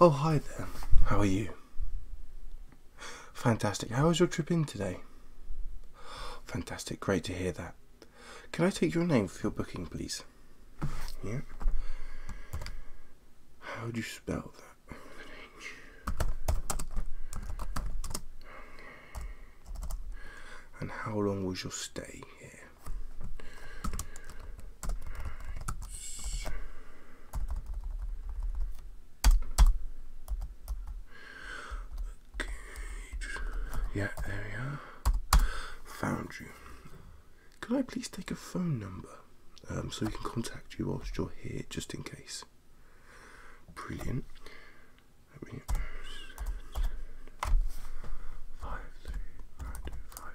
Oh, hi there. How are you? Fantastic. How was your trip in today? Fantastic. Great to hear that. Can I take your name for your booking, please? Yeah. How do you spell that? And how long was your stay here? Yeah, there you are. Found you. Could I please take a phone number um, so we can contact you whilst you're here, just in case? Brilliant. Five, three, nine, two, five,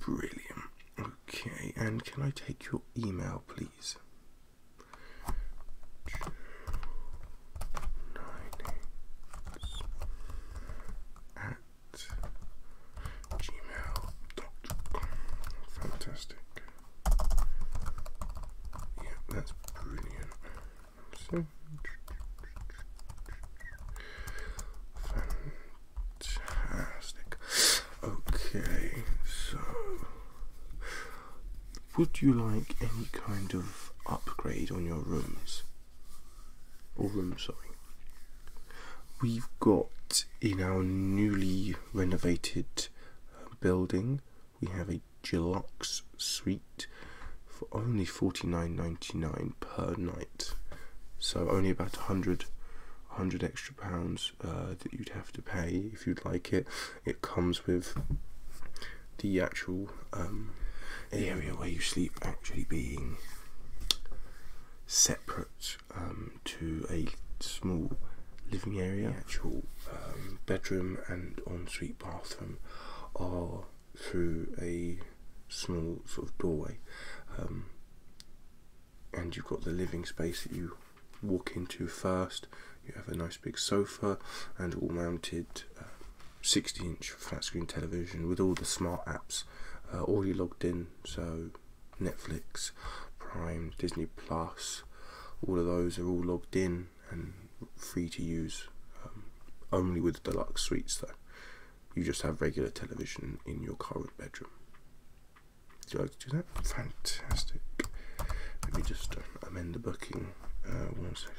Brilliant. Okay, and can I take your email, please? nine at gmail.com. Fantastic. Yeah, that's brilliant. fantastic. Okay, so would you like any kind of upgrade on your rooms? or room, sorry. We've got in our newly renovated uh, building, we have a Gilux suite for only $49.99 per night. So only about a 100 extra pounds uh, that you'd have to pay if you'd like it. It comes with the actual um, area where you sleep actually being separate um, to a small living area. The actual um, bedroom and ensuite bathroom are through a small sort of doorway, and you've got the living space that you walk into first. You have a nice big sofa and all mounted 60 inch flat screen television with all the smart apps uh, already logged in so Netflix Prime Disney Plus all of those are all logged in and free to use um, only with deluxe suites though you just have regular television in your current bedroom do you like to do that fantastic let me just uh, amend the booking uh, one second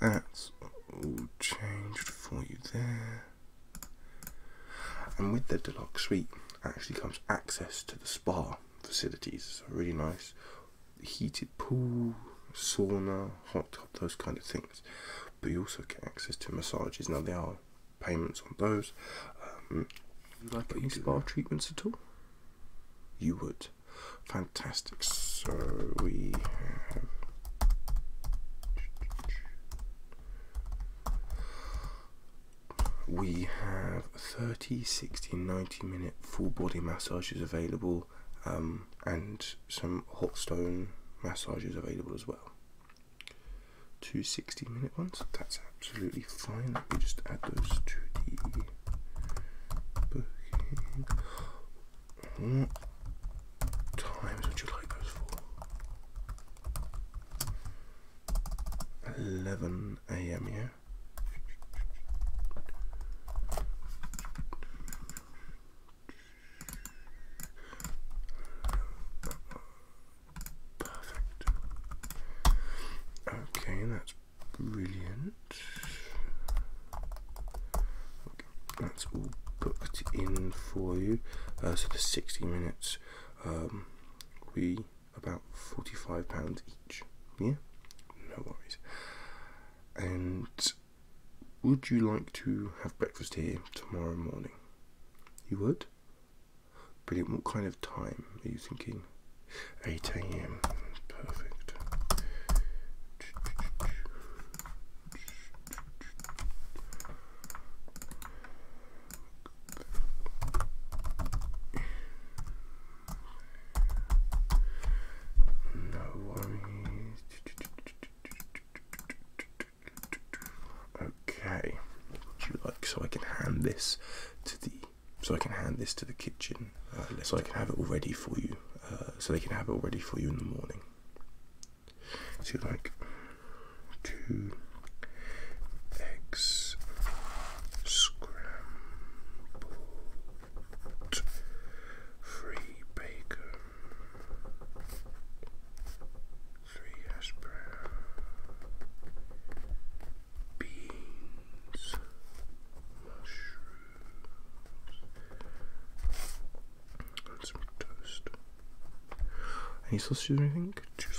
That's all changed for you there. And with the deluxe suite actually comes access to the spa facilities. So really nice heated pool, sauna, hot tub, those kind of things. But you also get access to massages. Now there are payments on those. Um, you like spa treatments at all? You would. Fantastic. So we have we have 30 60 90 minute full body massages available um, and some hot stone massages available as well Two minute ones that's absolutely fine let me just add those to the booking what times would you like those for? 11 a.m. Yeah. Perfect. Okay, that's brilliant that's all booked in for you. Uh, so the 60 minutes um, we about 45 pounds each. Yeah, no worries. And would you like to have breakfast here tomorrow morning? You would? Brilliant. What kind of time are you thinking? 8 a.m. Perfect. No worries. Okay. Would you like so I can hand this to the so I can hand this to the kitchen, uh, so I can have it all ready for you uh, so they can have it ready for you in the morning. So you like two eggs scrambled, free bacon, three hash brown, beans, and some toast. Any sauces or anything? Two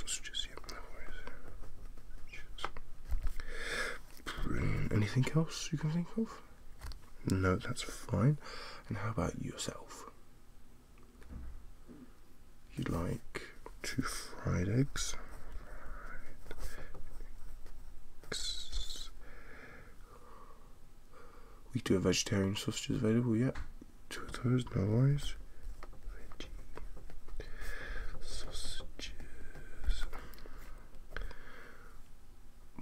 Anything else you can think of? No, that's fine. And how about yourself? You'd like two Fried eggs. We do have vegetarian sausages available, yeah. Two of those, no worries. sausages.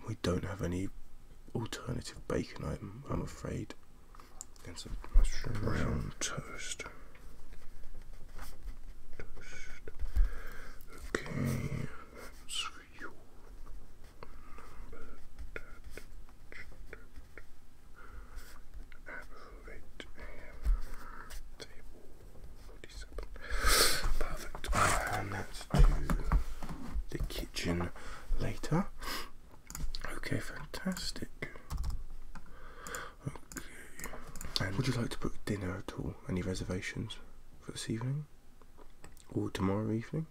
We don't have any alternative bacon item, I'm afraid. And some mushroom brown toast. Okay, Elevate and table 47. Perfect. And that's to the kitchen later. Okay, fantastic. Okay. And would you like to book dinner at all? Any reservations for this evening? Or tomorrow evening?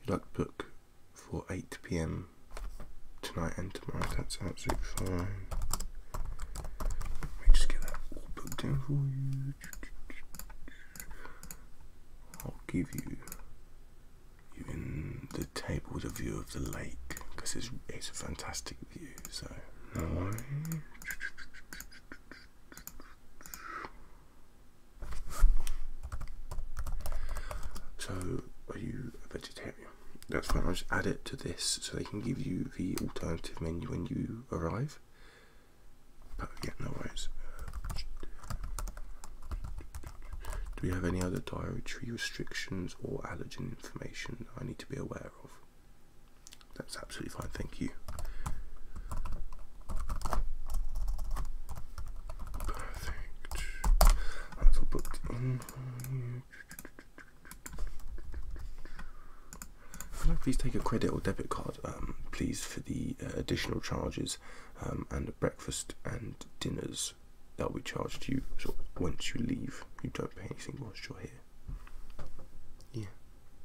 you'd like to book for 8 pm tonight and tomorrow, that's absolutely fine. Let me just get that all booked in for you. I'll give you even the table with a view of the lake because it's, it's a fantastic view so no worries. So, are you a vegetarian? That's fine. I'll just add it to this so they can give you the alternative menu when you arrive. But yeah, no worries. Do we have any other dietary restrictions or allergen information I need to be aware of? That's absolutely fine, thank you. Perfect. That's all booked in please take a credit or debit card, um, please, for the uh, additional charges um, and breakfast and dinners that will be charged to you so once you leave? You don't pay anything whilst you're here.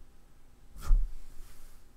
Yeah.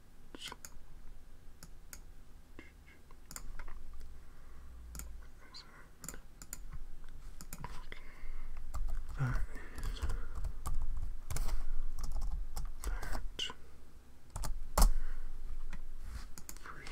That is that Green.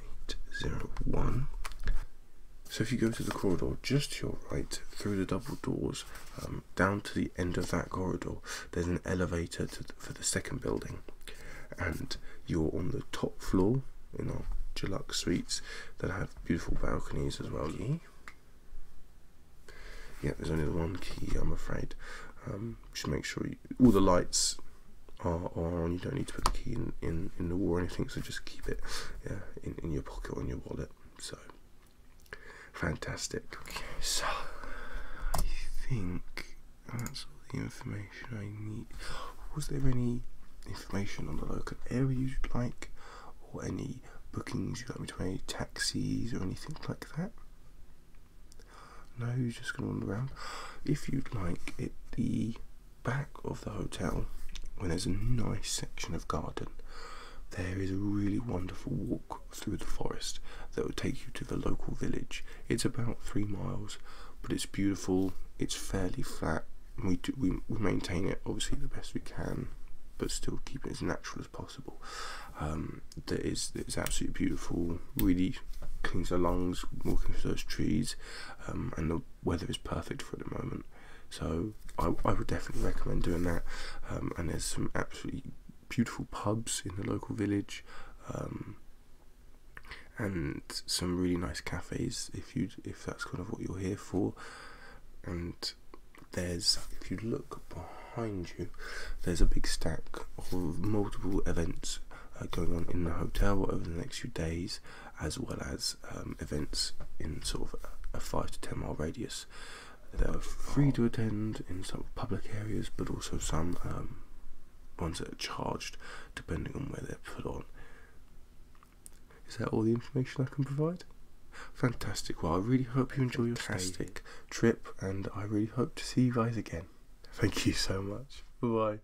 801. So if you go to the corridor just to your right, through the double doors, um, down to the end of that corridor, there's an elevator for the second building. And you're on the top floor in our Deluxe suites that have beautiful balconies as well. Yeah, there's only one key, I'm afraid. Um, just make sure all the lights or, or you don't need to put the key in, in, in the war or anything, so just keep it yeah, in, in your pocket or your wallet. So, fantastic. Okay, so, I think that's all the information I need. Was there any information on the local area you'd like, or any bookings you'd like me to make, taxis or anything like that? No, just going to wander around. If you'd like, it the back of the hotel, when there's a nice section of garden, there is a really wonderful walk through the forest that will take you to the local village. It's about three miles, but it's beautiful. It's fairly flat. We we, we maintain it obviously the best we can, but still keep it as natural as possible. Um, that is it's absolutely beautiful. Really cleans the lungs walking through those trees, um, and the weather is perfect for the moment. So I, would definitely recommend doing that. Um, and there's some absolutely beautiful pubs in the local village, um, and some really nice cafes if you if that's kind of what you're here for. And there's if you look behind you, there's a big stack of multiple events uh, going on in the hotel over the next few days as well as um, events in sort of a five to ten mile radius. They are free to attend in some public areas, but also some um, ones that are charged, depending on where they're put on. Is that all the information I can provide? Fantastic. Well, I really hope you enjoy your fantastic trip, and I really hope to see you guys again. Thank you so much. Bye bye.